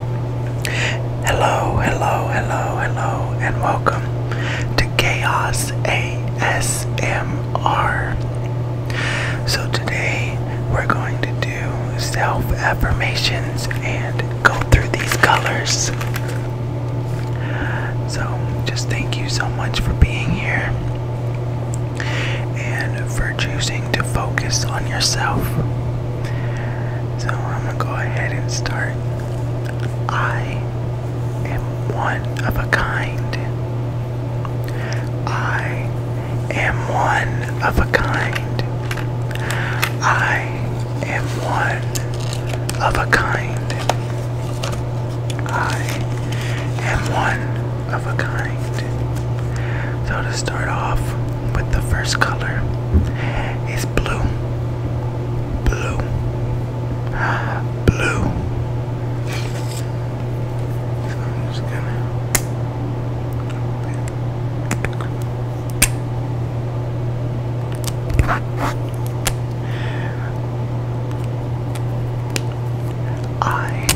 Hello, hello, hello, hello, and welcome to Chaos ASMR. So, today we're going to do self affirmations and go through these colors. So, just thank you so much for being here and for choosing to focus on yourself. So I'm gonna go ahead and start. I am one of a kind. I am one of a kind. I am one of a kind. I am one of a kind. So to start off, with the first color is blue, blue, blue. So I'm just gonna I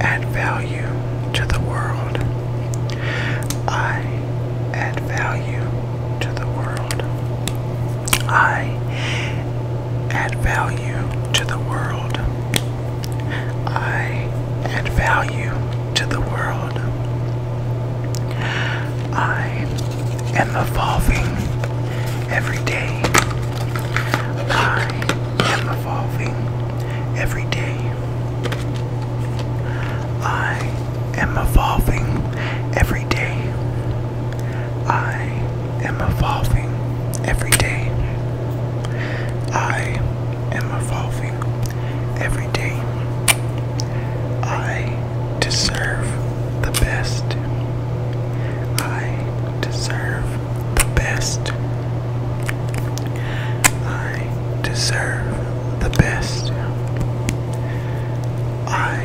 add value to the world I add value to the world. I add value to the world. I add value to the world. I am evolving every day. I am evolving every day. I am evolving every day. I am evolving every day. I am evolving every day. I deserve the best. I deserve the best. I deserve the best. I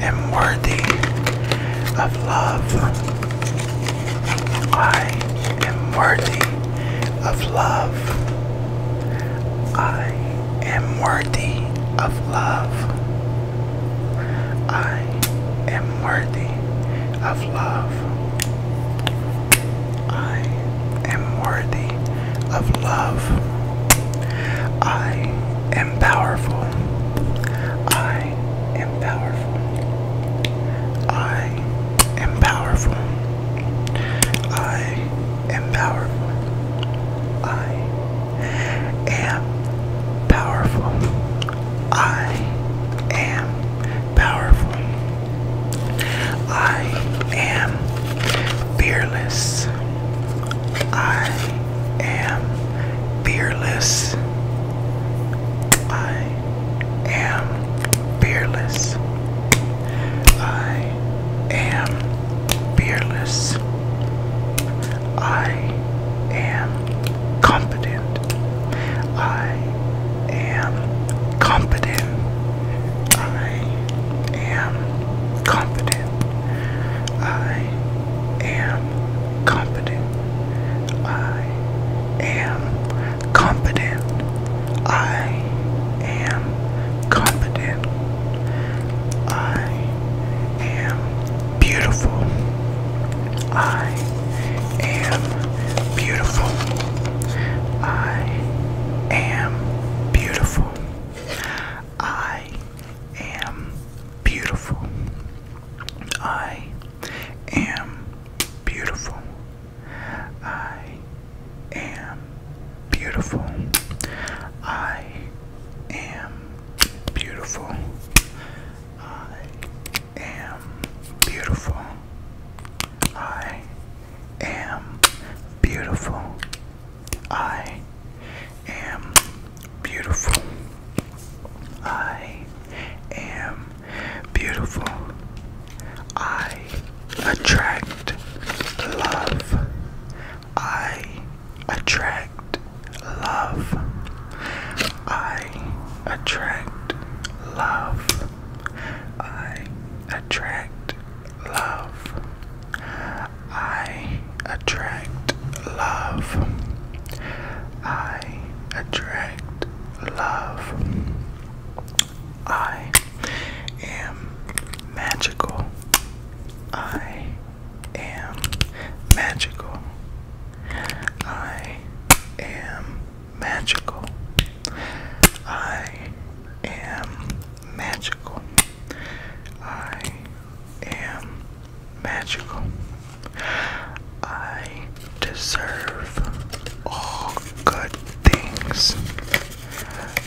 am worthy of love. I am worthy of love. I am worthy of love. I am worthy of love. I am worthy of love. I am powerful. I am powerful. I am powerful. I am powerful. I am powerful. I am powerful. I am fearless. I am fearless. I am fearless. I am fearless. I am confident. I am competent. I am competent. I am competent. I am competent. I am competent. I am beautiful. I am beautiful. I am beautiful. I am beautiful. I am beautiful. I am beautiful. I am beautiful. I am beautiful. I am beautiful. I am beautiful. I am beautiful. I attract love. I attract love. I attract love. I attract love. I attract love. I attract love. I am magical. I am magical. I am magical. I am magical. I am magical. I deserve all good things.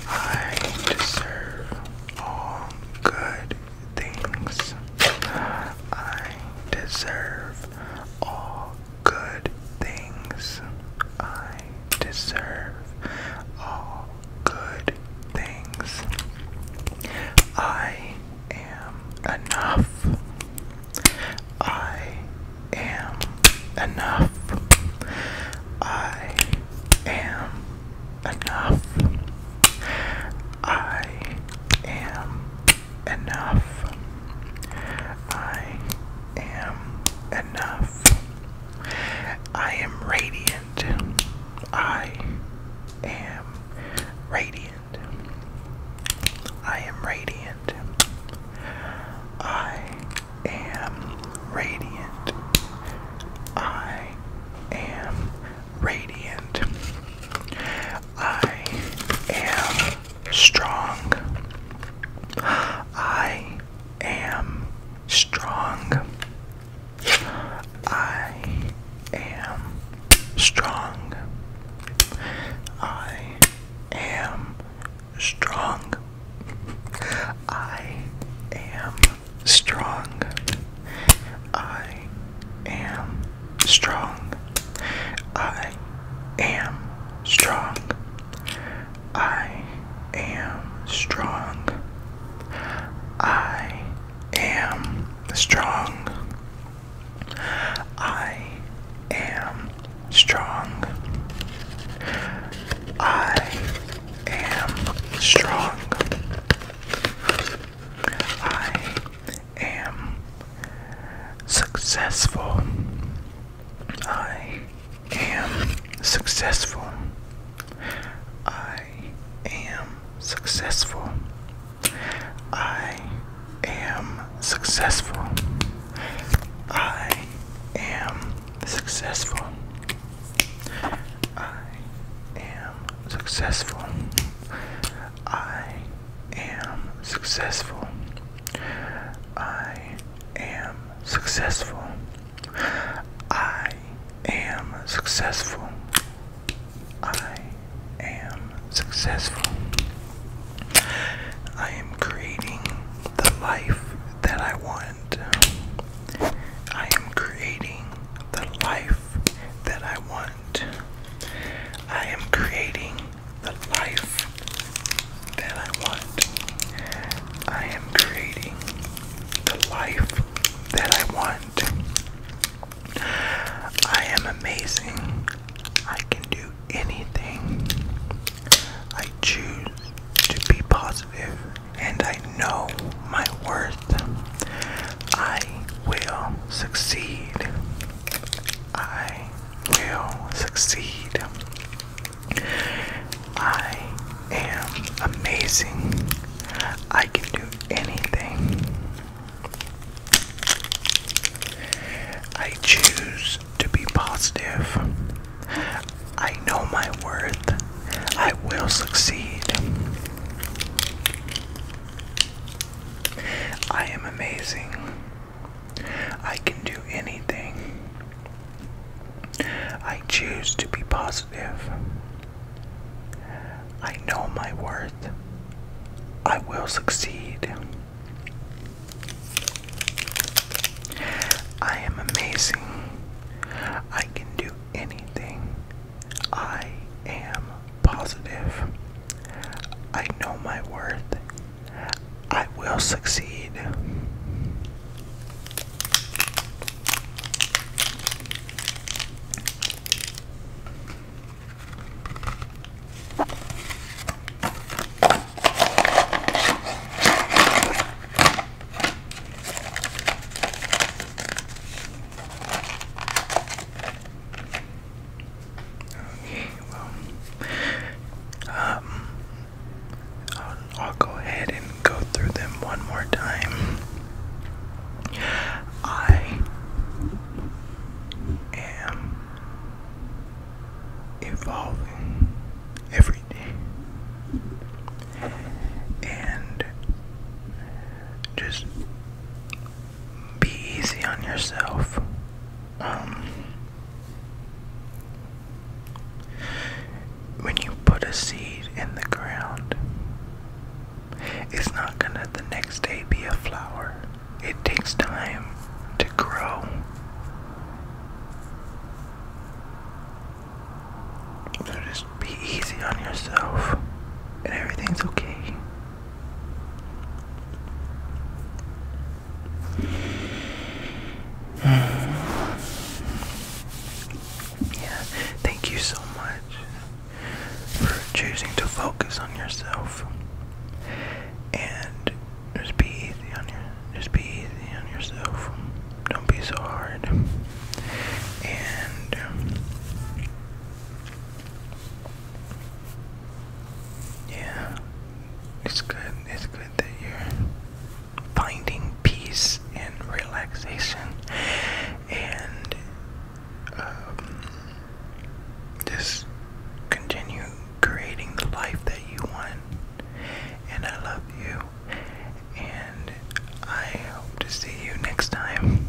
I deserve all good things. I deserve all good things I deserve. All good things. I am enough. I am enough. I am enough. I am enough. I am enough. I am radiant. I am radiant. I am radiant. I am radiant. I am radiant. I am strong. I am strong. I am strong. I am strong. I am strong. I am strong. I am strong. I am strong. I am strong. I am strong. I am strong. I am successful. I am successful. I am successful. I am successful. I am successful. I am successful. I am successful. I I am successful. I am successful. I am successful. I am creating the life that I want. I am creating the life that I want. I am creating the life that I want. I am creating the life that I want. I am amazing. I can do anything. I choose to be positive and I know my worth. I will succeed. I will succeed. I am amazing. I can do anything. I choose to be positive. I know my worth. I will succeed. I am amazing. I can do anything. I choose to be positive. I know my worth. I will succeed. I am amazing. I can do anything. I am positive. I know my worth. I will succeed. Okay, well, um, I'll, go ahead and go through them one more time. I am evolving every day and just be easy on yourself. Um, when you put a seed in the ground, it's not gonna the next day be a flower. It takes time to grow. So just be easy on yourself, and everything's okay. Yeah, thank you so much for choosing to focus on yourself and just be easy on your just be easy on yourself. Don't be so hard. And um, yeah. It's good. It's good that you're finding peace and relaxation and um, just continue creating the life that you want. And I love you. And I hope to see you next time.